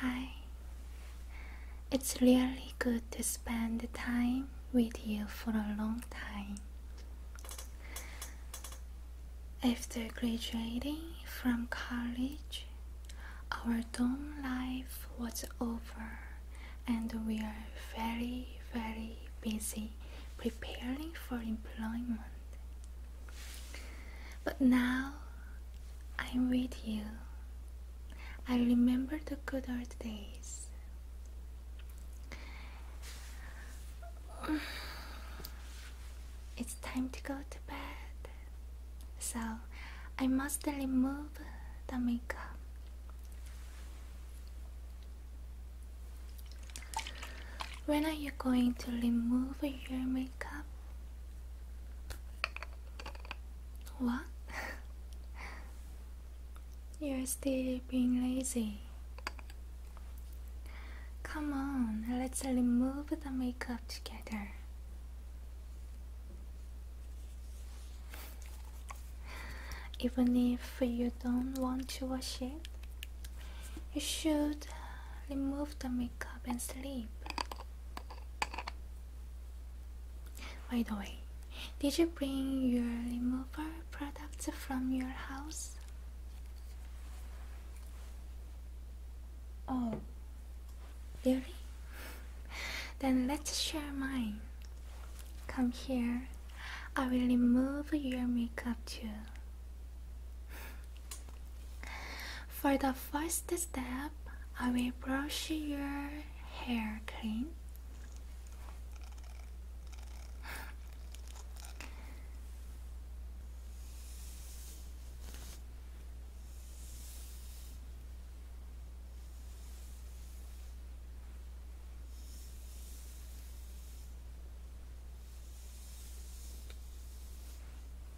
Hi. It's really good to spend time with you for a long time. After graduating from college, our dorm life was over and we are very, very busy preparing for employment. But now I'm with you. I remember the good old days. It's time to go to bed. So I must remove the makeup. When are you going to remove your makeup? What? You're still being lazy. Come on, let's remove the makeup together. Even if you don't want to wash it, you should remove the makeup and sleep. By the way, did you bring your remover products from your house? Oh, really? then let's share mine. Come here, I will remove your makeup too. For the first step, I will brush your hair clean.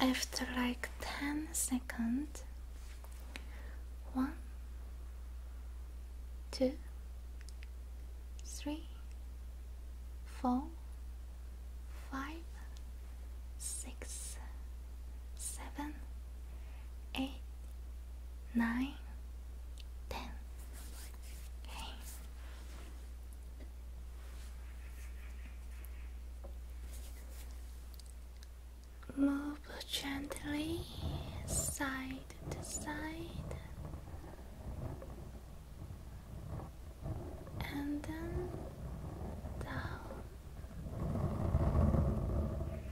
After like 10 seconds, one, two, three, four, five, six, seven, eight, nine, ten. Move gently side to side and then down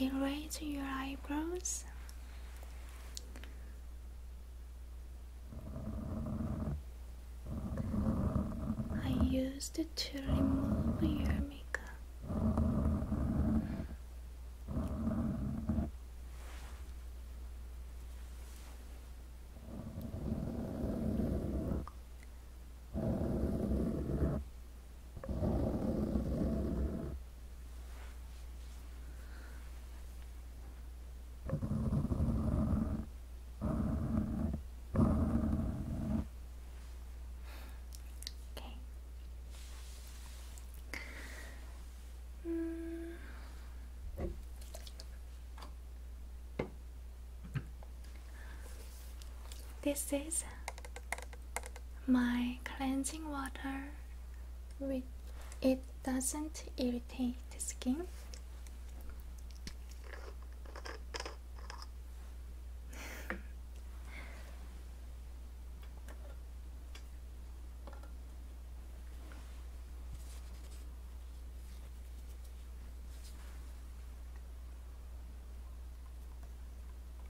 erase your eyebrows. I used to remove your makeup. Okay. Mm. This is my cleansing water with it doesn't irritate the skin.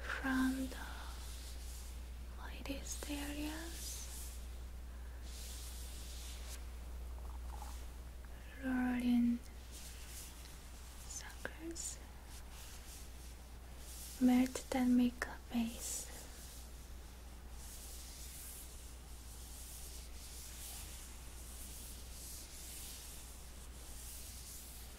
from the lightest areas rolling suckers melt that makeup base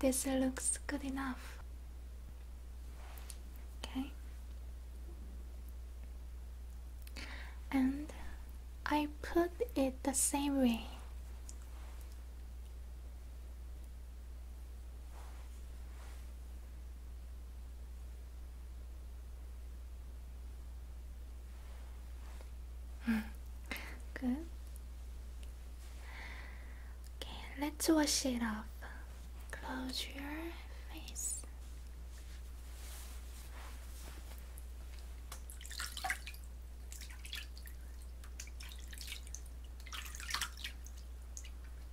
This looks good enough. Okay. And I put it the same way. Good. Okay, let's wash it off. Close your face.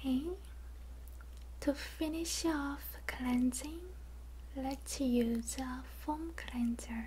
Okay, to finish off cleansing, let's use a foam cleanser.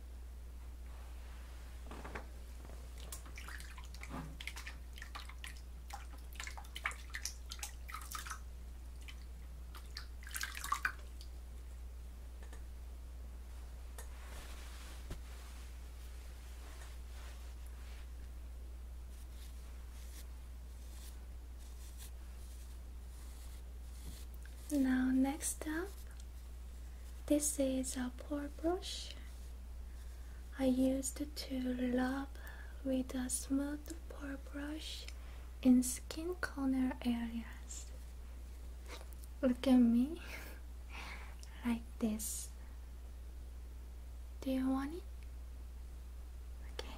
Now, next up, this is a pore brush I used to rub with a smooth pore brush in skin corner areas. Look at me like this. Do you want it? Okay.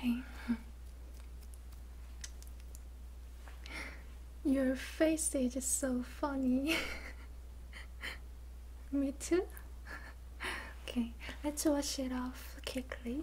okay. Your face is so funny. Me too okay, let's wash it off quickly.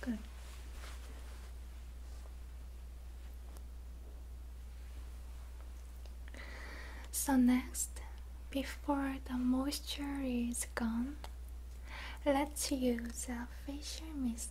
Good. So next, before the moisture is gone, let's use a facial mist.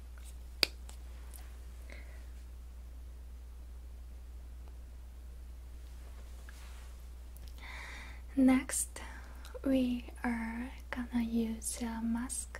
Next, we are gonna use a mask.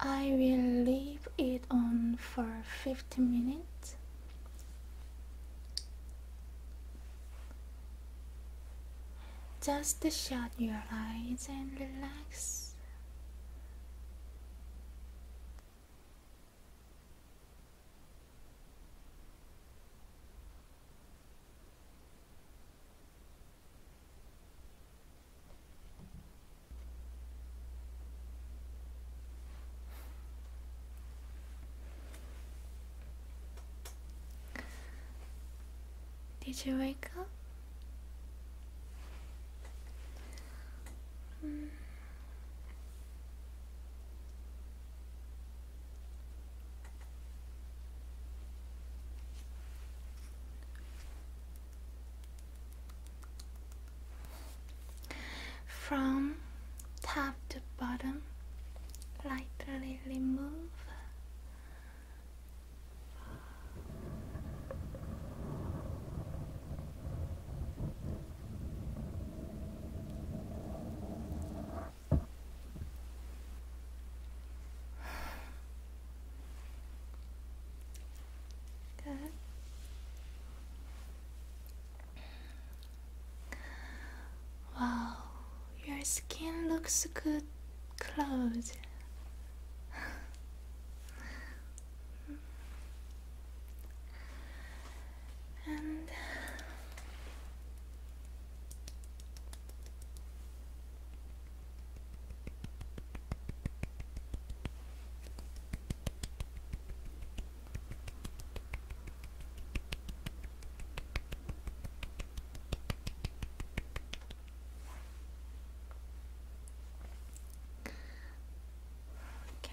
I will leave it on for 50 minutes just shut your eyes and relax did you wake up? Hmm. From top to bottom, lightly remove. Wow, your skin looks good clothes. and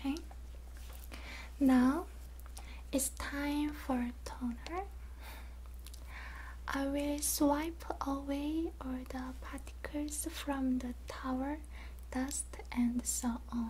Okay. Now it's time for toner. I will swipe away all the particles from the tower, dust, and so on.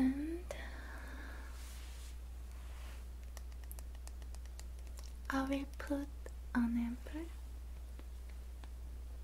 And uh, I will put an emperor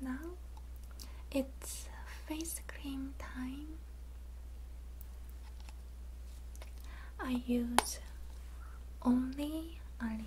Now it's face cream time. I use only a little.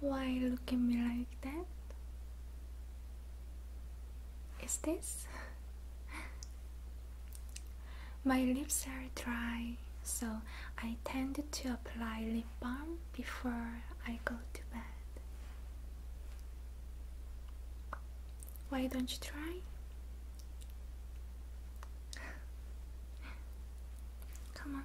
Why look at me like that? Is this? My lips are dry, so I tend to apply lip balm before I go to bed. Why don't you try? Come on.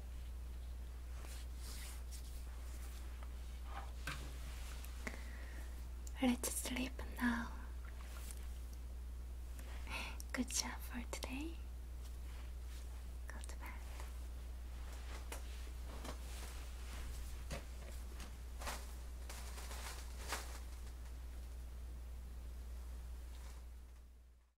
Let's sleep now. Good job for today. Go to bed.